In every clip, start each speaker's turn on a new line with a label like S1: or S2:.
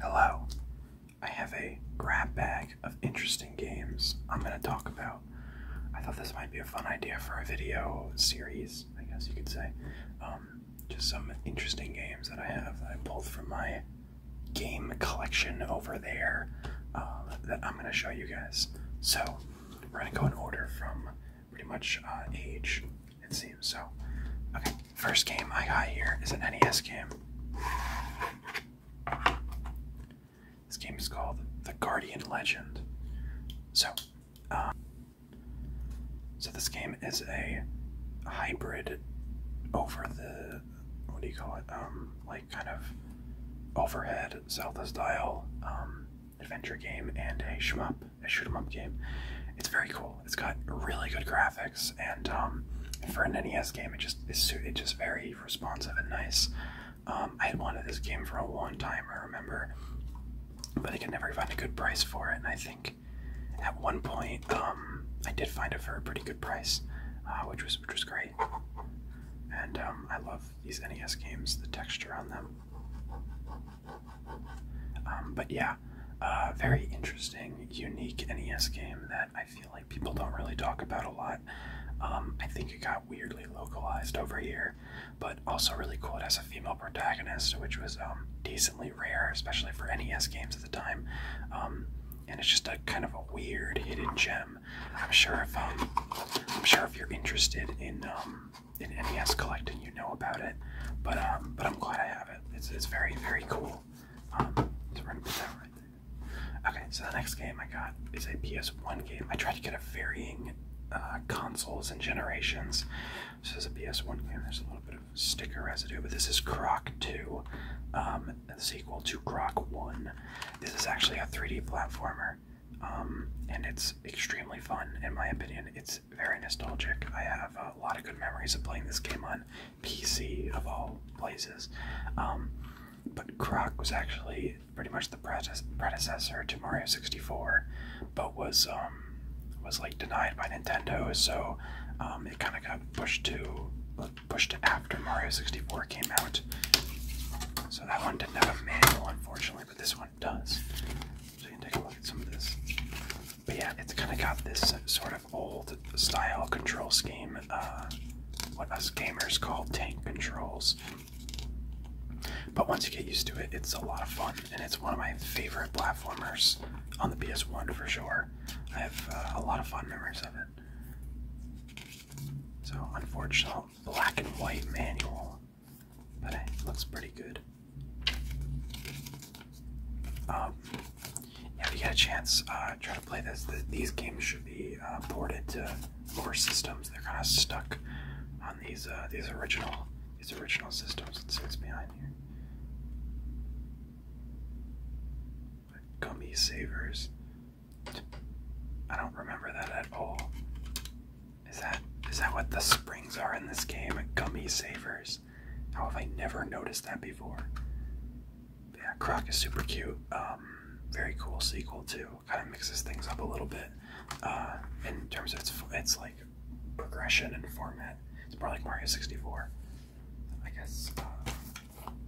S1: Hello. I have a grab bag of interesting games I'm going to talk about. I thought this might be a fun idea for a video series, I guess you could say. Um, just some interesting games that I have that I pulled from my game collection over there um, that I'm going to show you guys. So we're going to go in order from pretty much uh, age, it seems. So, okay, first game I got here is an NES game. This game is called The Guardian Legend. So, um, so this game is a hybrid over the what do you call it? Um, like kind of overhead Zelda style um, adventure game and a shmup, a shoot 'em up game. It's very cool. It's got really good graphics, and um, for an NES game, it just it's it's just very responsive and nice. Um, I had wanted this game for a long time. I remember, but I could never find a good price for it. And I think at one point, um, I did find it for a pretty good price, uh, which was which was great. And um, I love these NES games, the texture on them. Um, but yeah, uh, very interesting, unique NES game that I feel like people don't really talk about a lot. Um, I think it got weirdly localized over here, but also really cool. It has a female protagonist, which was decently rare, especially for NES games at the time. and it's just a kind of a weird hidden gem um, I'm sure if um, I'm sure if you're interested in um, in NES collecting, you know about it. But but I'm glad I have it. It's it's very very cool. Okay, so the next game I got is a PS1 game. I tried to get a varying uh, consoles and generations. This is a PS1 game. There's a little bit of sticker residue, but this is Croc 2 um, sequel to Croc 1. This is actually a 3D platformer, um, and it's extremely fun, in my opinion. It's very nostalgic. I have a lot of good memories of playing this game on PC, of all places. Um, but Croc was actually pretty much the predecessor to Mario 64, but was um, was like denied by Nintendo, so it kind of got pushed to pushed after Mario 64 came out. So that one didn't have a manual, unfortunately, but this one does. So you can take a look at some of this. But yeah, it's kind of got this sort of old style control scheme, uh, what us gamers call tank controls. But once you get used to it, it's a lot of fun, and it's one of my favorite platformers on the PS1 for sure. I have uh, a lot of fun memories of it. So, unfortunate black and white manual, but it looks pretty good. if um, you get a chance, uh, try to play this. these games should be uh, ported to more systems. They're kind of stuck on these uh, these original these original systems. Let's see what's behind here gummy savers. I don't remember that at all. Is that is that what the springs are in this game? Gummy savers. How have I never noticed that before? yeah, Croc is super cute. Um, very cool sequel too. Kind of mixes things up a little bit uh, in terms of its its like progression and format. It's more like Mario 64. I guess. Uh,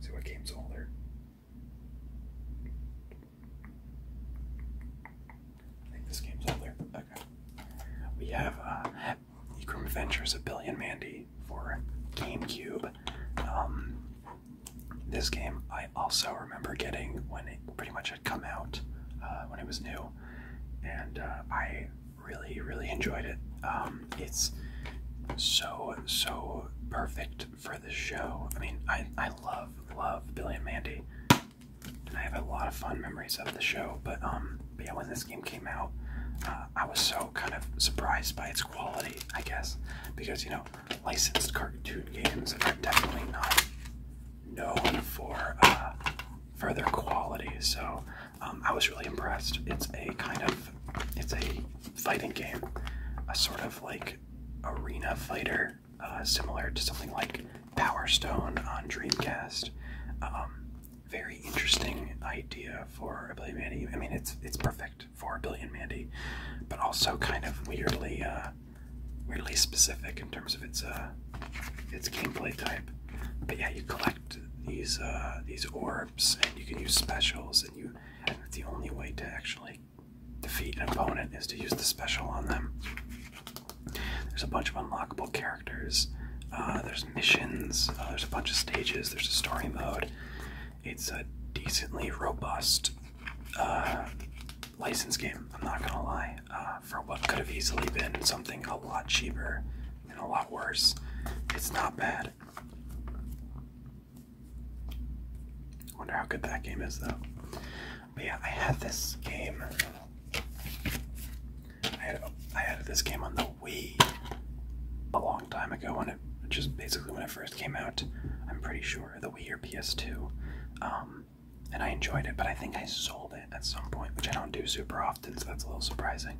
S1: see what game's older. I think this game's out there. Okay. We have uh, Ecrum Ventures, a billion Mandy for GameCube. Um, this game I also remember getting when it pretty much had come out uh, when it was new, and uh, I really, really enjoyed it. Um, it's so, so perfect for the show. I mean, I, I love, love Billy and Mandy. And I have a lot of fun memories of the show, but um, yeah, when this game came out, uh, I was so kind of surprised by its quality, I guess, because you know, licensed cartoon games are definitely not known for uh, their quality. So um, I was really impressed. It's a kind of it's a fighting game, a sort of like arena fighter, uh, similar to something like Power Stone on Dreamcast. Um, very interesting idea for a Billion Mandy. I mean, it's it's perfect for a Billion Mandy, but also kind of weirdly uh, weirdly specific in terms of its uh, its gameplay type. But yeah, you collect these uh, these orbs, and you can use specials, and you the only way to actually defeat an opponent is to use the special on them. There's a bunch of unlockable characters. Uh, there's missions. Uh, there's a bunch of stages. There's a story mode. It's a decently robust uh, license game. I'm not gonna lie. for what could have easily been something a lot cheaper and a lot worse, it's not bad. I wonder how good that game is, though. But yeah, I had this game. I had, I had this game on the Wii a long time ago when it just basically when it first came out. I'm pretty sure the Wii or PS2. Um, and I enjoyed it, but I think I sold it at some point, which I don't do super often, so that's a little surprising.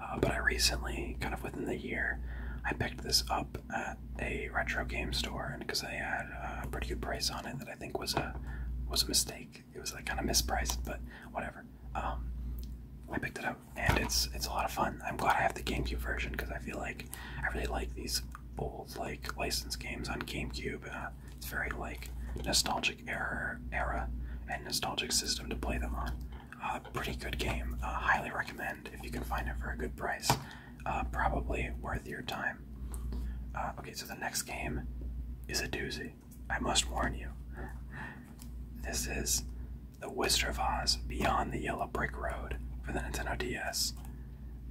S1: Uh, but I recently, kind of within the year, I picked this up at a retro game store, and because they had a pretty good price on it, that I think was a was a mistake. It was like kind of mispriced, but whatever. Um, I picked it up, and it's it's a lot of fun. I'm glad I have the GameCube version because I feel like I really like these old like licensed games on GameCube. Uh, it's very like nostalgic era era and nostalgic system to play them on. A pretty good game. Uh, highly recommend if you can find it for a good price. Uh, probably worth your time. Uh, okay, so the next game is a doozy. I must warn you. This is The Wizard of Oz Beyond the Yellow Brick Road for the Nintendo DS.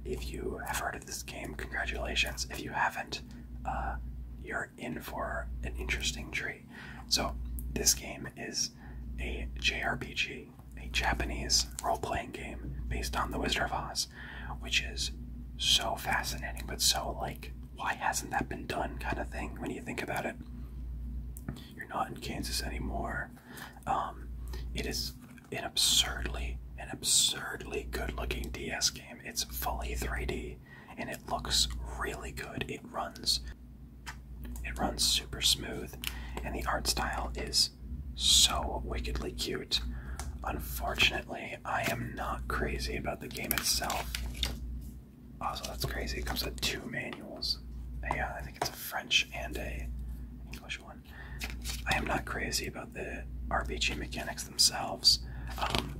S1: If you have heard of this game, congratulations. If you haven't, you're in for an interesting treat. So, this game is a JRPG a, Japanese role playing game based on The Wizard of Oz, which is so fascinating, but so like, why hasn't that been done kind of thing when you think about it? You're not in Kansas anymore. Um, it is an absurdly, an absurdly good looking DS game. It's fully 3D and it looks really good. It runs it runs super smooth, and the art style is so wickedly cute. Unfortunately, I am not crazy about the game itself. Also, that's crazy. It comes with two manuals. Yeah, I think it's a French and a English one. I am not crazy about the RPG mechanics themselves, um,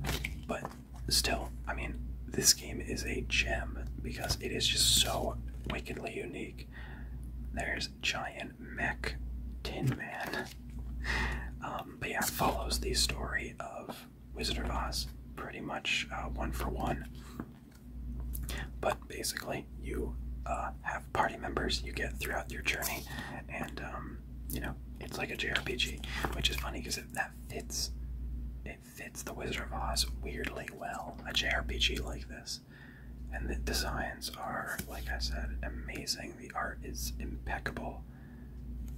S1: but still, I mean, this game is a gem because it is just so wickedly unique. There's Giant Mech Tin Man. Um, but yeah, follows the story of Wizard of Oz pretty much uh, one for one. But basically, you uh, have party members you get throughout your journey, and um, you know it's like a JRPG, which is funny because that fits. It fits the Wizard of Oz weirdly well. A JRPG like this, and the designs are, like I said, amazing. The art is impeccable.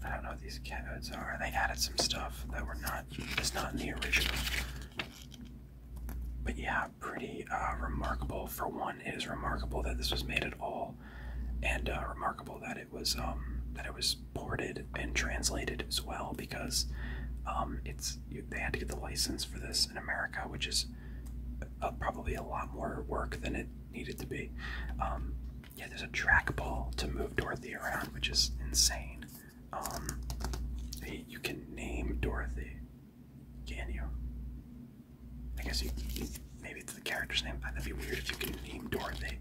S1: I don't know what these codes are. They added some stuff that were not is not in the original. But yeah, pretty uh, remarkable. For one, it is remarkable that this was made at all, and uh, remarkable that it was um, that it was ported and translated as well because um, it's they had to get the license for this in America, which is uh, probably a lot more work than it needed to be. Um, yeah, there's a trackball to move Dorothy around, which is insane. Um, you can name Dorothy, can you? I guess you, maybe it's the character's name. That'd be weird if you can name Dorothy.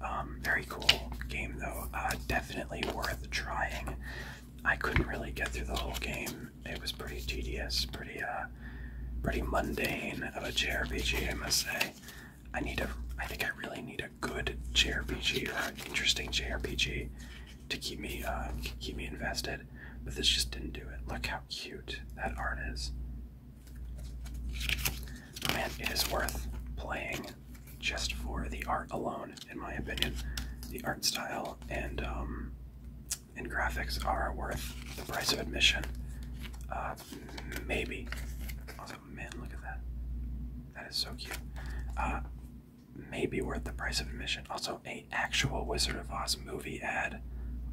S1: Um, very cool game though. Uh, definitely worth trying. I couldn't really get through the whole game. It was pretty tedious, pretty uh, pretty mundane of a JRPG, I must say. I need a, I think I really need a good JRPG or interesting JRPG to keep me uh, keep me invested. But this just didn't do it. Look how cute that art is. Man, it is worth playing just for the art alone, in my opinion. The art style and um, and graphics are worth the price of admission. Uh, maybe. Also, man, look at that. That is so cute. Uh, maybe worth the price of admission. Also, a actual Wizard of Oz movie ad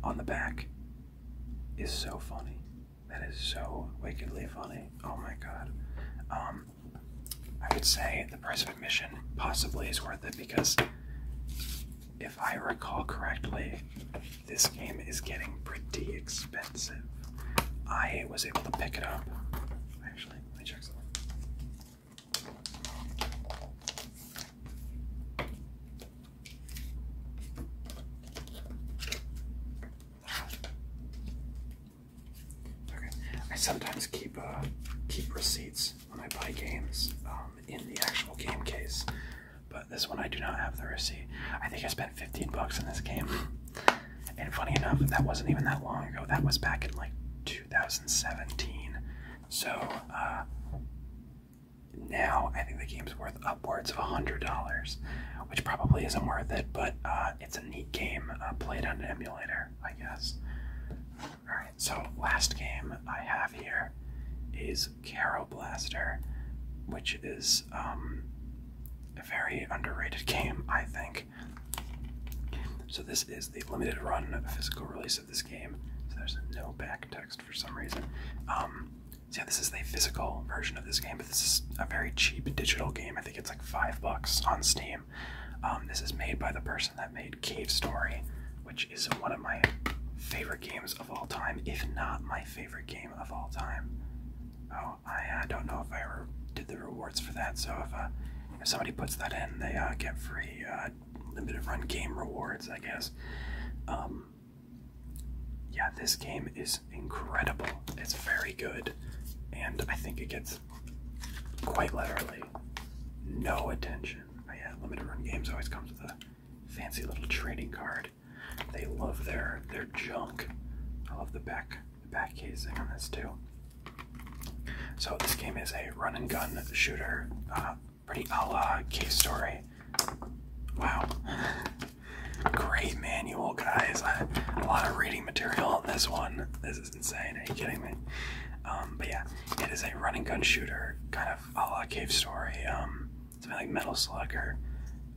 S1: on the back is so funny. That is so wickedly funny. Oh my god. Um, I would say the price of admission possibly is worth it because if I recall correctly, this game is getting pretty expensive. I was able to pick it up. Actually, let me check something. Okay. I sometimes keep uh, keep receipts when I buy games um, in the actual game case, but this one I do not have the receipt. I think I spent 15 bucks on this game, and funny enough, that wasn't even that long ago. That was back in like 2017. So uh, now I think the game's worth upwards of $100, which probably isn't worth it, but uh, it's a neat game played on an emulator. I guess. Alright, so last game I have here is Caro Blaster, which is um, a very underrated game, I think. So this is the limited run physical release of this game. So there's no back text for some reason. Um, yeah, this is the physical version of this game, but this is a very cheap digital game. I think it's like five bucks on Steam. Um, this is made by the person that made Cave Story, which is one of my favorite games of all time, if not my favorite game of all time. Oh, I don't know if I ever did the rewards for that, so if, uh, somebody puts that in, they uh, get free uh, limited run game rewards, I guess. Um, yeah, this game is incredible. It's very good, and I think it gets quite literally no attention. Oh yeah, limited run games always comes with a fancy little trading card. They love their their junk. I love the back the back casing on this too. So this game is a run and gun shooter, uh, pretty a la case story. Wow. Great manual, guys. A lot of reading material on this one is insane. Are you kidding me? Um, but yeah, it is a run and gun shooter, kind of a la Cave Story, um, something like Metal Slug or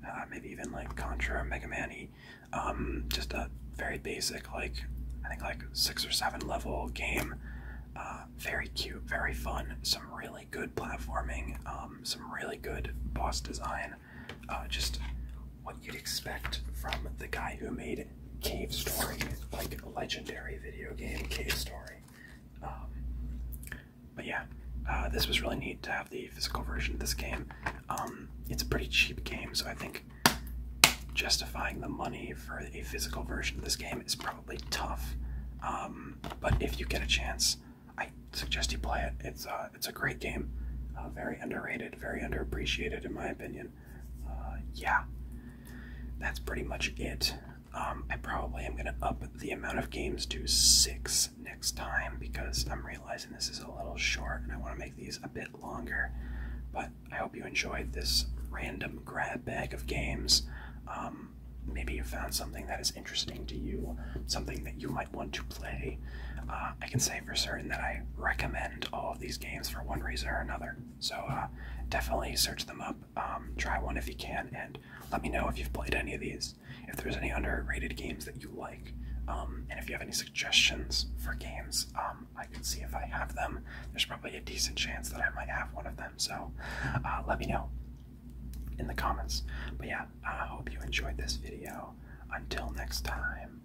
S1: uh, maybe even like Contra, or Mega Man-y. Um, just a very basic, like I think like six or seven level game. Uh, very cute, very fun. Some really good platforming. Um, some really good boss design. Uh, just what you'd expect from the guy who made Cave Story, like legendary video game Cave Story. Um, but yeah, uh, this was really neat to have the physical version of this game. Um, it's a pretty cheap game, so I think justifying the money for a physical version of this game is probably tough. Um, but if you get a chance, I suggest you play it. It's uh, it's a great game, uh, very underrated, very underappreciated in my opinion. Uh, yeah, that's pretty much it. Um, I probably am going to up the amount of games to six next time because I'm realizing this is a little short and I want to make these a bit longer. But I hope you enjoyed this random grab bag of games. Um, maybe you found something that is interesting to you, something that you might want to play. Uh, I can say for certain that I recommend all of these games for one reason or another. So uh, definitely search them up. Um, try one if you can, and let me know if you've played any of these. If there's any underrated games that you like, um, and if you have any suggestions for games, um, I can see if I have them. There's probably a decent chance that I might have one of them. So uh, let me know in the comments. But yeah, I hope you enjoyed this video. Until next time.